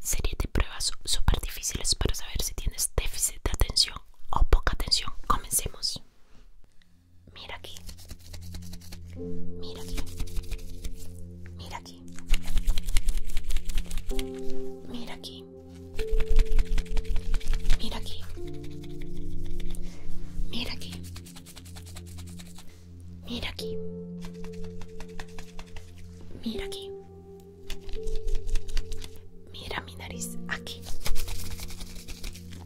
Serie de pruebas súper difíciles para saber si tienes déficit de atención o poca atención. Comencemos. Mira aquí. Mira aquí. Mira aquí. Mira aquí. Mira aquí. Mira aquí. Mira aquí. Mira aquí. Mira mi nariz. Aquí.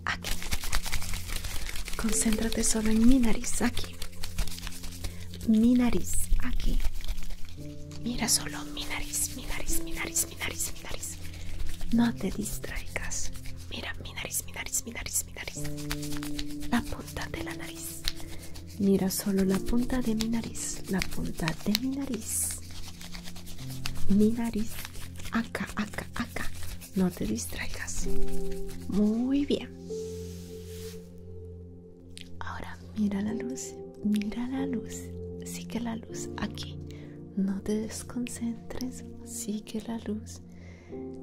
Aquí. Concéntrate solo en mi nariz. Aquí. Mi nariz. Aquí. Mira solo mi nariz, mi nariz, mi nariz, mi nariz, mi nariz. No te distraigas. Mira mi nariz, mi nariz, mi nariz, mi nariz. La punta de la nariz. Mira solo la punta de mi nariz, la punta de mi nariz. Mi nariz. Acá, acá, acá. No te distraigas. Muy bien. Ahora mira la luz, mira la luz. Sigue la luz aquí. No te desconcentres. Sigue la luz.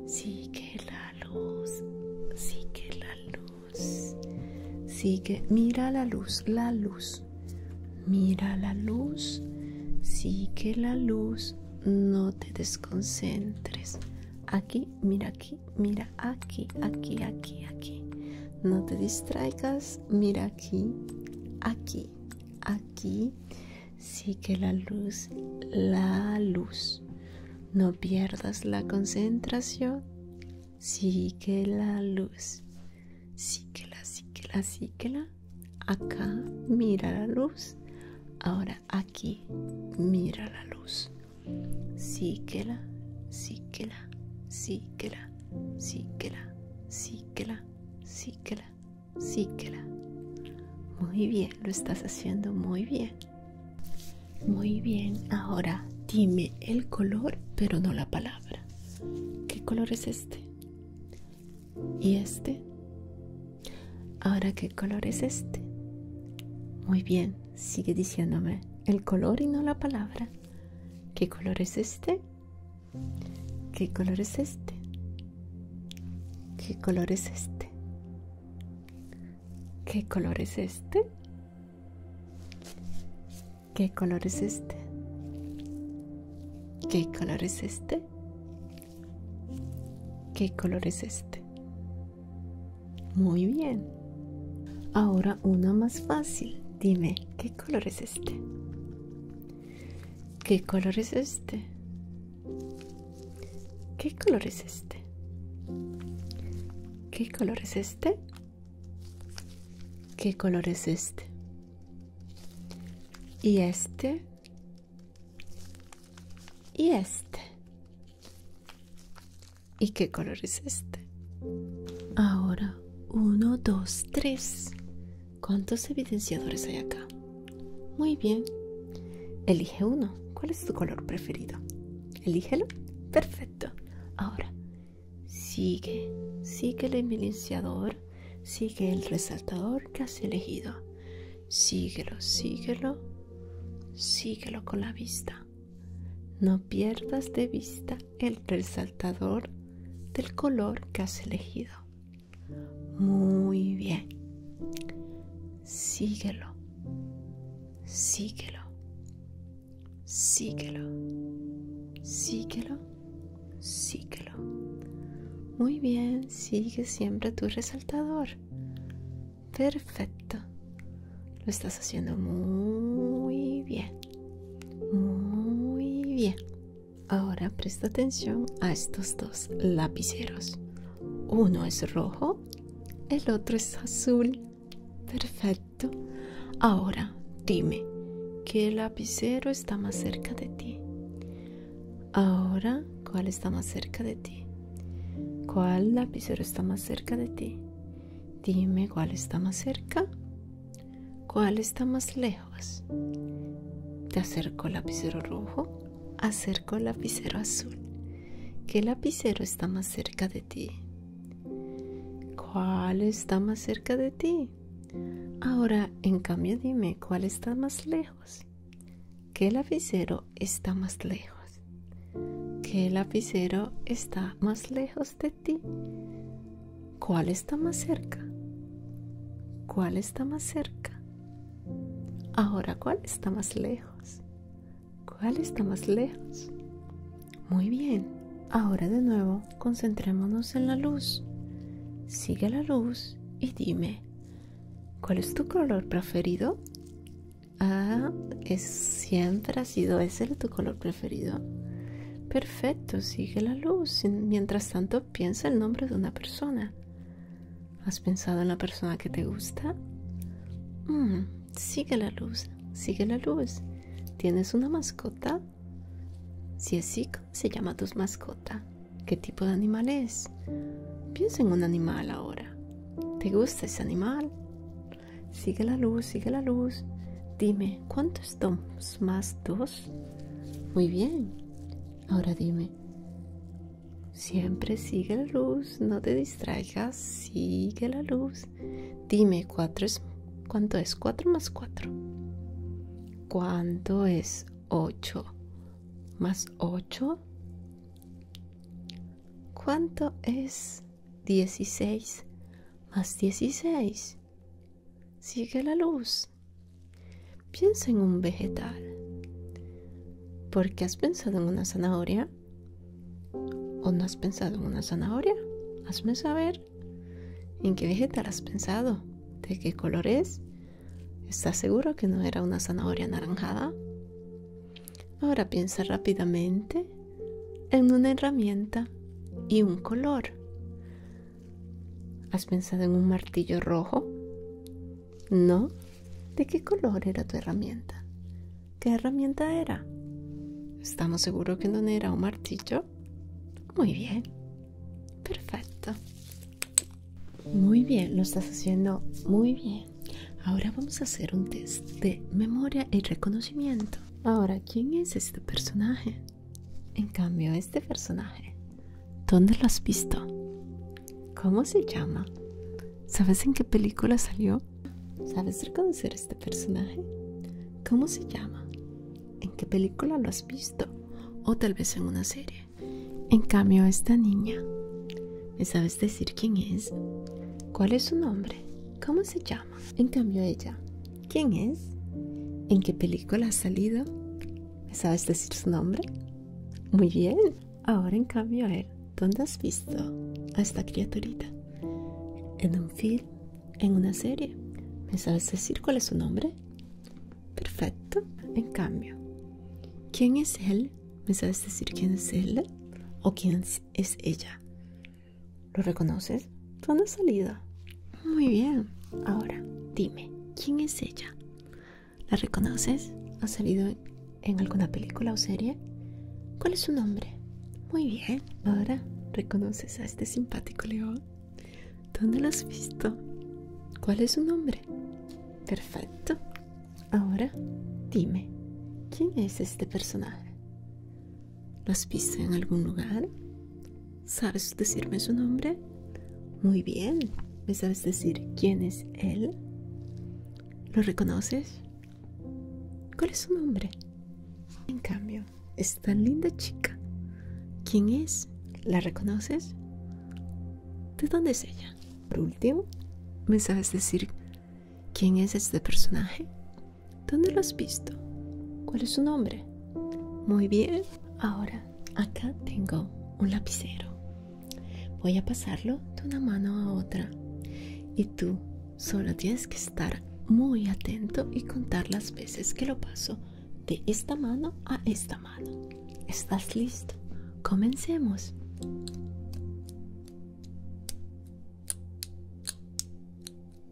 Sigue la luz, sigue la luz. Sigue, mira la luz, la luz. Mira la luz, sigue la luz. No te desconcentres. Aquí, mira aquí, mira aquí, aquí, aquí, aquí. No te distraigas, mira aquí, aquí, aquí. Sigue la luz, la luz. No pierdas la concentración. la luz. Síguela, síguela, la. Acá mira la luz. Ahora aquí mira la luz. la, síguela, síguela, síguela, síguela, síguela, la. Muy bien, lo estás haciendo muy bien. Muy bien, ahora dime el color, pero no la palabra. ¿Qué color es este? ¿Y este? Ahora, ¿qué color es este? Muy bien, sigue diciéndome el color y no la palabra. ¿Qué color es este? ¿Qué color es este? ¿Qué color es este? ¿Qué color es este? ¿Qué color es este? ¿Qué color es este? ¿Qué color es este? Muy bien. Ahora una más fácil. Dime, ¿qué color es este? ¿Qué color es este? ¿Qué color es este? ¿Qué color es este? ¿Qué color es este? Y este. Y este. ¿Y qué color es este? Ahora, uno, dos, tres. ¿Cuántos evidenciadores hay acá? Muy bien. Elige uno. ¿Cuál es tu color preferido? Elígelo. Perfecto. Ahora, sigue. Sigue el eminenciador. Sigue el resaltador que has elegido. Síguelo, síguelo. Síguelo con la vista. No pierdas de vista el resaltador del color que has elegido. Muy bien. Síguelo. Síguelo. Síguelo. Síguelo. Síguelo. Muy bien, sigue siempre tu resaltador. Perfecto. Lo estás haciendo muy bien. Muy bien. Ahora presta atención a estos dos lapiceros. Uno es rojo, el otro es azul. Perfecto. Ahora dime, ¿qué lapicero está más cerca de ti? Ahora, ¿cuál está más cerca de ti? ¿Cuál lapicero está más cerca de ti? Dime cuál está más cerca. ¿Cuál está más lejos? Te acerco el lapicero rojo, acerco el lapicero azul. ¿Qué lapicero está más cerca de ti? ¿Cuál está más cerca de ti? Ahora, en cambio, dime cuál está más lejos. ¿Qué lapicero está más lejos? ¿Qué lapicero está más lejos de ti? ¿Cuál está más cerca? ¿Cuál está más cerca? Ahora, ¿cuál está más lejos? ¿Cuál está más lejos? Muy bien. Ahora de nuevo, concentrémonos en la luz. Sigue la luz y dime, ¿cuál es tu color preferido? Ah, siempre ha sido ese tu color preferido. Perfecto, sigue la luz. Mientras tanto, piensa el nombre de una persona. ¿Has pensado en la persona que te gusta? Mm, sigue la luz, sigue la luz. ¿Tienes una mascota? Si es así, se llama tu mascota? ¿Qué tipo de animal es? Piensa en un animal ahora. ¿Te gusta ese animal? Sigue la luz, sigue la luz. Dime, ¿cuántos dos más dos? Muy bien. Ahora dime, siempre sigue la luz, no te distraigas, sigue la luz. Dime, 4 ¿cuánto es 4 más 4? ¿Cuánto es 8 más 8? ¿Cuánto es 16 más 16? Sigue la luz. Piensa en un vegetal. porque has pensado en una zanahoria? ¿O no has pensado en una zanahoria? Hazme saber. ¿En qué vegetal has pensado? ¿De qué color es? ¿Estás seguro que no era una zanahoria anaranjada? Ahora piensa rápidamente en una herramienta y un color. ¿Has pensado en un martillo rojo? ¿No? ¿De qué color era tu herramienta? ¿Qué herramienta era? ¿Estamos seguros que no era un martillo? Muy bien. Perfecto. Muy bien, lo estás haciendo muy bien. Ahora vamos a hacer un test de memoria y reconocimiento. Ahora, ¿quién es este personaje? En cambio, este personaje, ¿dónde lo has visto? ¿Cómo se llama? ¿Sabes en qué película salió? ¿Sabes reconocer este personaje? ¿Cómo se llama? ¿En qué película lo has visto? O tal vez en una serie. En cambio, esta niña, ¿me sabes decir quién es? ¿Cuál es su nombre? ¿Cómo se llama? En cambio, ella, ¿Quién es? ¿En qué película ha salido? ¿Me ¿Sabes decir su nombre? Muy bien. Ahora en cambio, a él, ¿dónde has visto a esta criaturita? ¿En un film? ¿En una serie? ¿Me sabes decir cuál es su nombre? Perfecto. En cambio, ¿quién es él? ¿Me sabes decir quién es él o quién es ella? ¿Lo reconoces? ¿Dónde ha salido? Muy bien. Ahora, dime, ¿quién es ella? ¿La reconoces? ¿Ha salido en alguna película o serie? ¿Cuál es su nombre? Muy bien. Ahora, ¿reconoces a este simpático león? ¿Dónde lo has visto? ¿Cuál es su nombre? Perfecto. Ahora, dime, ¿quién es este personaje? ¿Lo has visto en algún lugar? ¿Sabes decirme su nombre? Muy bien. ¿Me sabes decir quién es él? ¿Lo reconoces? ¿Cuál es su nombre? En cambio, esta linda chica. ¿Quién es? ¿La reconoces? ¿De dónde es ella? Por último, ¿me sabes decir quién es este personaje? ¿Dónde lo has visto? ¿Cuál es su nombre? Muy bien, ahora acá tengo un lapicero. Voy a pasarlo de una mano a otra y tú solo tienes que estar muy atento y contar las veces que lo paso de esta mano a esta mano. ¿Estás listo? Comencemos.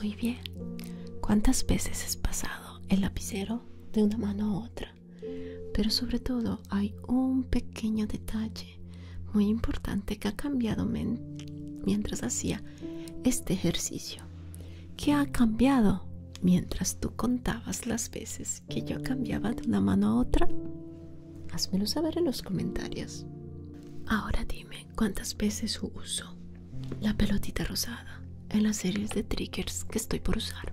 Muy bien. ¿Cuántas veces has pasado el lapicero de una mano a otra? Pero sobre todo hay un pequeño detalle muy importante que ha cambiado mientras hacía este ejercicio. ¿Qué ha cambiado mientras tú contabas las veces que yo cambiaba de una mano a otra? Házmelo saber en los comentarios. Ahora dime cuántas veces uso la pelotita rosada en las series de triggers que estoy por usar.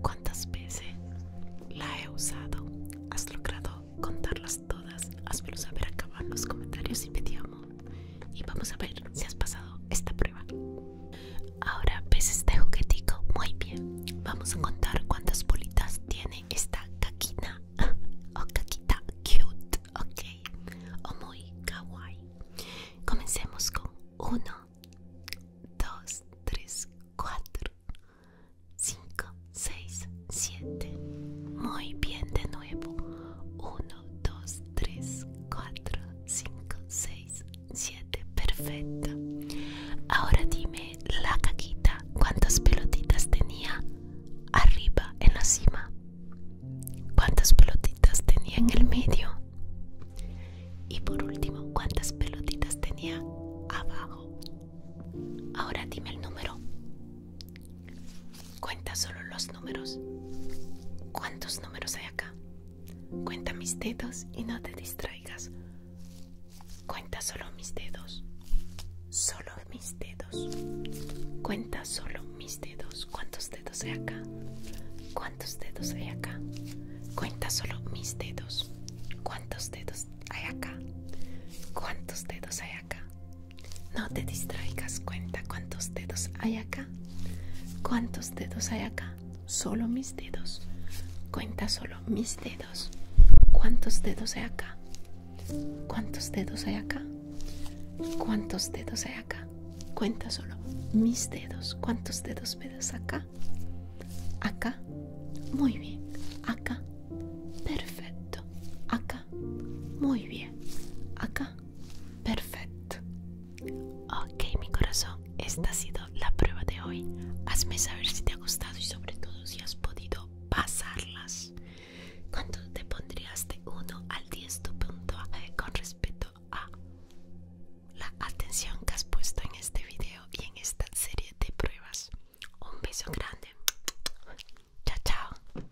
¿Cuántas veces la he usado? ¿Has logrado contarlas todas? Hazmelo saber acá en los comentarios y me y vamos a ver si has pasado esta prueba. Ahora ves pues, este juguetico muy bien. Vamos a contar cuántas bolitas tiene esta caquita o caquita cute, ok, o muy kawaii. Comencemos con 1, 2, 3, 4, 5, 6, 7. Muy bien, de nuevo. 1, 2, 3, 4, 5, 6, 7. Perfecto. Ahora dime la caquita. ¿Cuántas pelotitas tenía arriba en la cima? ¿Cuántas pelotitas tenía en el medio? Y por último, ¿cuántas pelotitas tenía abajo? Ahora dime el número. Cuenta solo los números. ¿Cuántos números hay acá? Cuenta mis dedos y no te distraigas. Cuenta solo mis dedos. Solo mis dedos. Cuenta solo mis dedos. ¿Cuántos dedos hay acá? ¿Cuántos dedos hay acá? Cuenta solo mis dedos. ¿Cuántos dedos hay acá? ¿Cuántos dedos hay acá? No te distraigas, cuenta cuántos dedos hay acá. ¿Cuántos dedos hay acá? Solo mis dedos. Cuenta solo mis dedos. ¿Cuántos dedos hay acá? ¿Cuántos dedos hay acá? ¿Cuántos dedos hay acá? Cuenta solo mis dedos. ¿Cuántos dedos pedos acá? Acá. Muy bien. Acá. Perfecto. Acá. Muy bien. Acá. Perfecto. Ok, mi corazón, esta ha sido la prueba de hoy. Hazme saber si te ha gustado y sobre todo si has podido pasarlas. ¿Cuánto te pondrías de 1 al 10 tu punto eh, con respecto a la atención que has puesto en este video y en esta serie de pruebas? Un beso grande. Chao, chao.